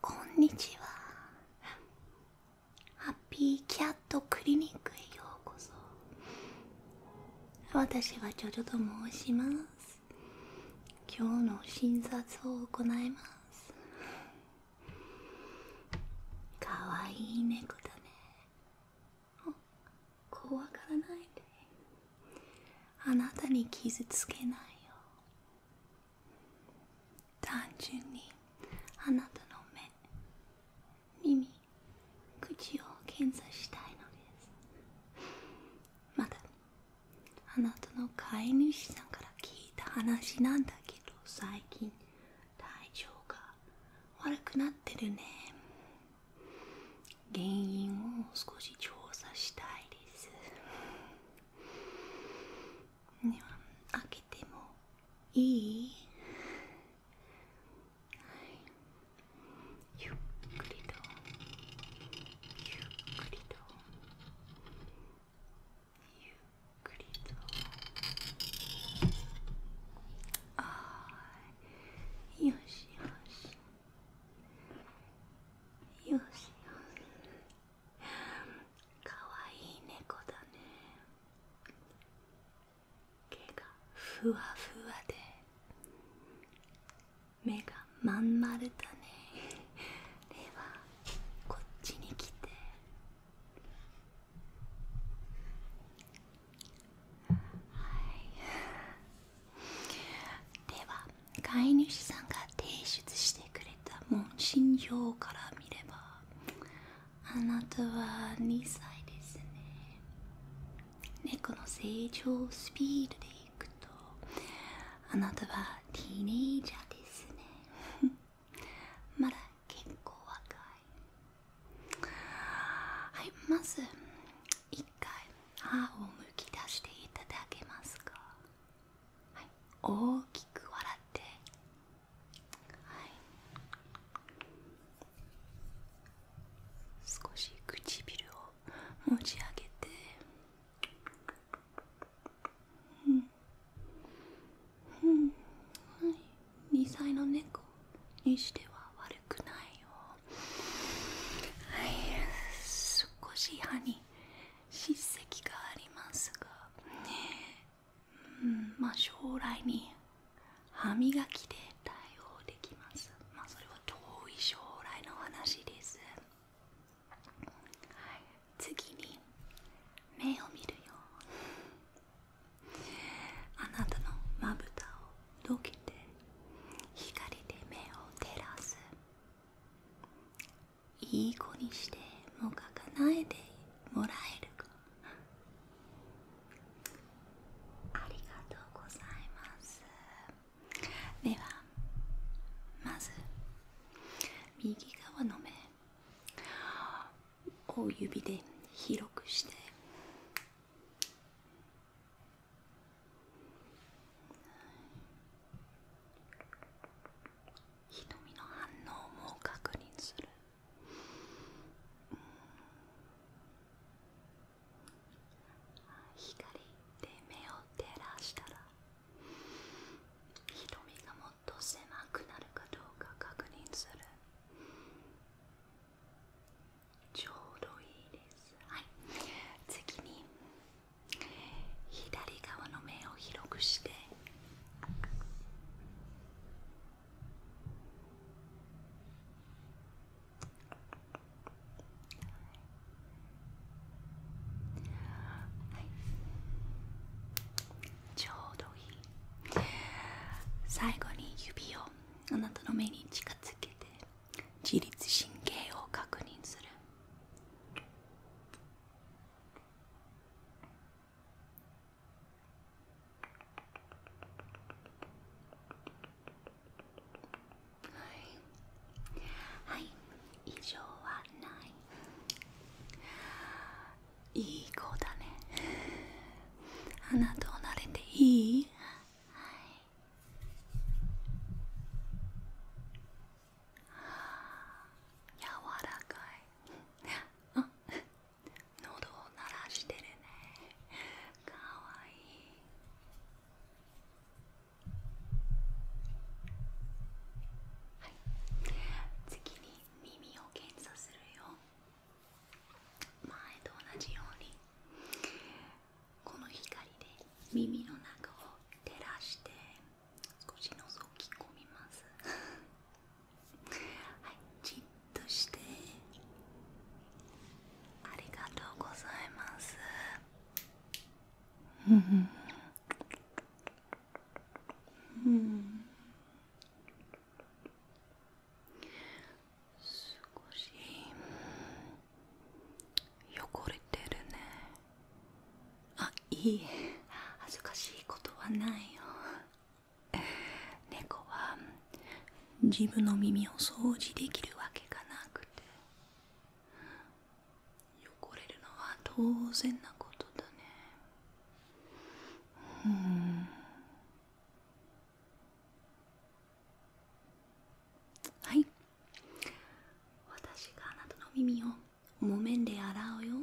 こんにちはハッピーキャットクリニックへようこそ私はジョジョと申します今日の診察を行いますかわいい猫だね怖がらないであなたに傷つけないよ単純にあなたの目耳口を検査したいのですまだあなたの飼い主さんから聞いた話なんだけど最近体調が悪くなってるね原因を少し調査したいですでは開けてもいいいゆっくりとゆっくりとゆっくりとああよしよしよしよしかわいい猫だね毛がふわふわで目がまん丸だねではこっちに来てでは飼い主さんが提出してくれた問診票から見ればあなたは2歳ですね猫の成長スピードでいくとあなたはティーネイジャーですね まだ結構若いはいまず一回歯をむき出していただけますか、はい、大きく笑ってはい少し唇を持ち上げて、うんうんはい、2歳の猫にしては悪くないよ少し歯に歯石がありますがねうん、ま将来に歯磨きで対応できますまそれは遠い将来の話です次に目を見るよあなたのまぶたをどけて光で目を照らすいい子にしてもかかないでもらえるかありがとうございますではまず右側の目を指で広くして瞳の反応も確認する、光で目を照らしたら瞳がもっと狭くなるかどうか確認する。ちょうどいいですはい次に左側の目を広くしてはい、ちょうどいい最後に指をあなたの目に近づけて自律神経を確認するは以上はないいい子だねあなたをなれていい、はい、柔らかいあ喉を鳴らしてるねかわいいはい次に耳を検査するよ。前と同じようにこの光で耳の中を照らして少し覗き込みます はいじっとしてありがとうございますうん少し汚れてるねあいい恥ずかしいことはないよ猫は自分の耳を掃除できるわけがなくて汚れるのは当然なことだねうんはい私があなたの耳を木綿で洗うよ、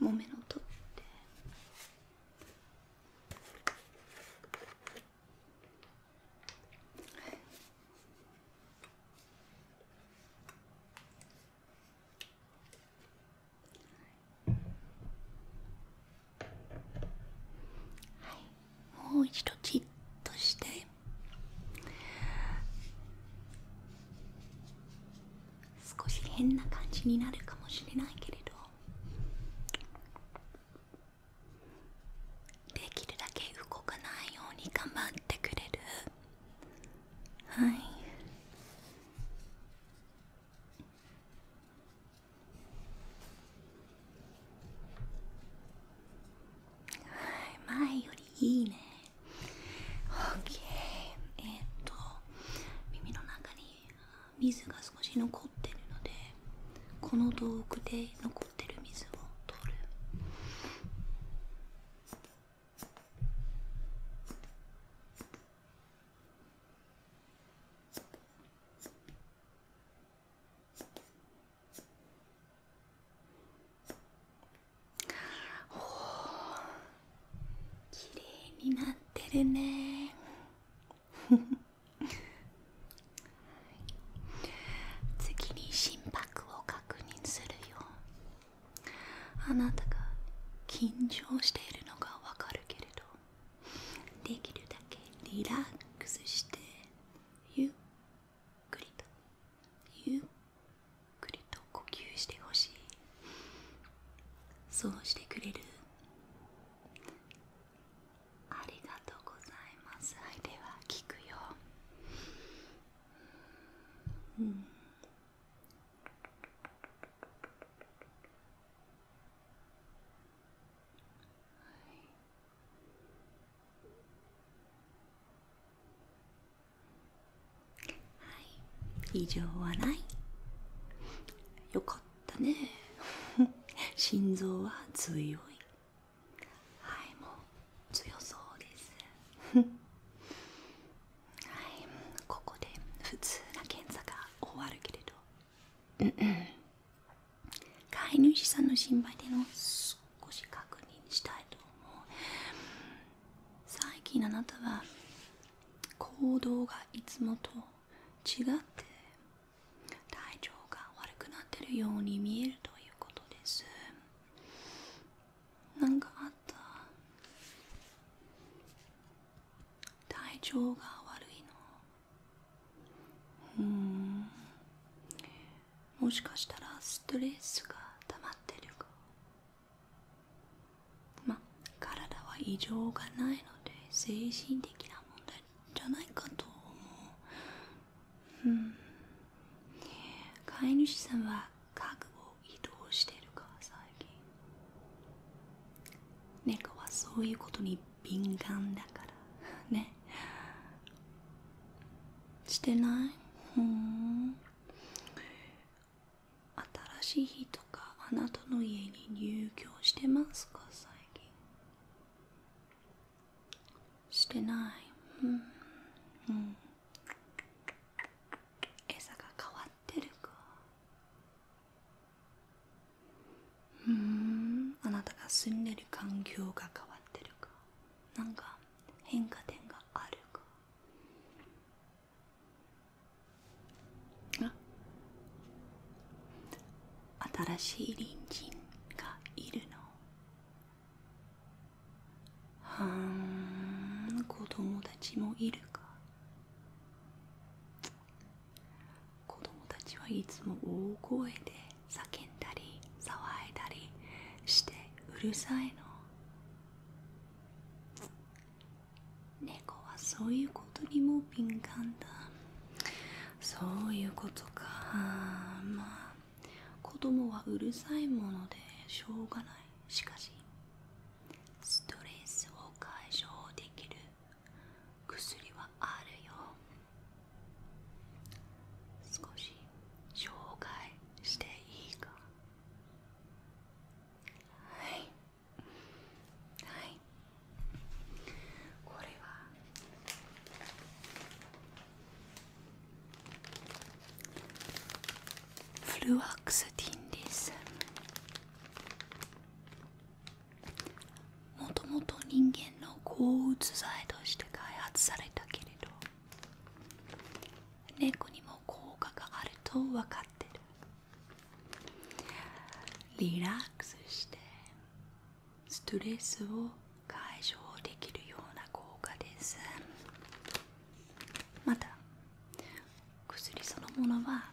木綿の取って。はい、もう一度チッとして少し変な感じになるかもしれないけれどできるだけ動かないように頑張ってくれるはいはい、前よりいいね OK えっと耳の中に水が少し残ってるのでこの道具で残ってる水を取る。きれいになってるね 次に心拍を確認するよあなたが緊張しているのがわかるけれどできるだけリラックスしてゆっくりとゆっくりと呼吸してほしいそうしてくれるありがとうございますはいでは聞くようんはい異常はないよかっただね 心臓は強いはいもう強そうです はいここで普通な検査が終わるけれど飼い主さんの心配での少し確認したいと思う最近あなたは行動がいつもと違って体調が悪くなってるように見えるということですなんかあった体調が悪いのうんもしかしたらストレスが溜まってるかまあ体は異常がないので精神的な問題じゃないかと思う、うん、飼い主さんは家具を移動してるか最近猫はそういうことに敏感だからねしてないふん新しい日とかあなたの家に入居してますか最近してないうんうん餌が変わってるかうんあなたが住んでる環境が変わってるかなんか変化点があるか新しい隣人がいるのはん子供たちもいるか子供たちはいつも大声で叫んだり騒いだりしてうるさいの猫はそういうことにも敏感だそういうことかまあ子供はうるさいものでしょうがないしかしストレスを解消できる薬はあるよ少し紹介していいかはいはいこれはフルワックスティンですもともと人間の抗うつ剤として開発されたけれど猫にも効果があると分かってるリラックスしてストレスを解消できるような効果ですまた薬そのものは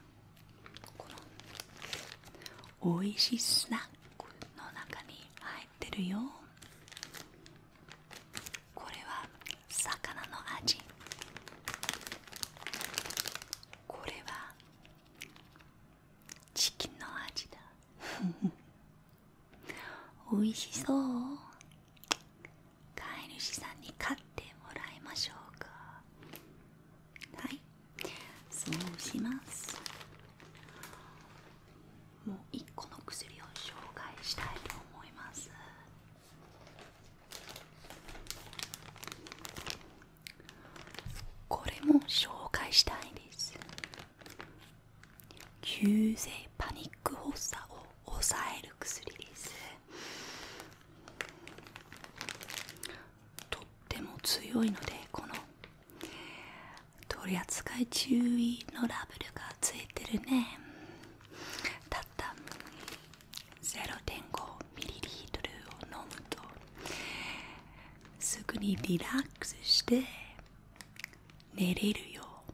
このおいしいスナックの中に入ってるよこれは魚の味これはチキンの味だおい しそう飼い主さんに飼ってもらいましょうかはいそうしますもう1個の薬を紹介したいと思いますこれも紹介したいです急性パニック発作を抑える薬ですとっても強いのでこの取扱注意のラベルがついてるねたった0 5トルを飲むとすぐにリラックスして寝れるよう。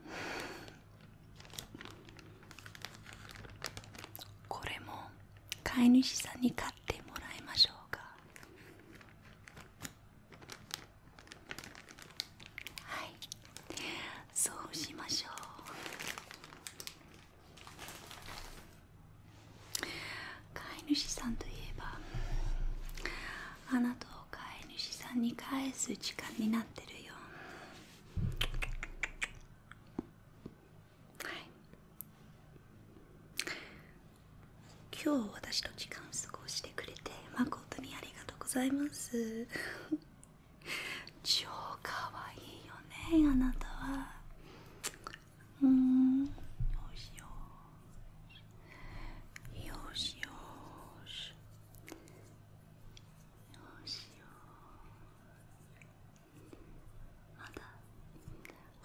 これも飼い主さんに買ってもらいましょうかはいそうしましょう飼い主さんといえばあなたを飼い主さんに返す時間になってるよ今日私の時間過ごしてくれて誠にありがとうございます 超かわいよねあなたはよしよしよしよしまた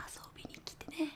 遊びに来てね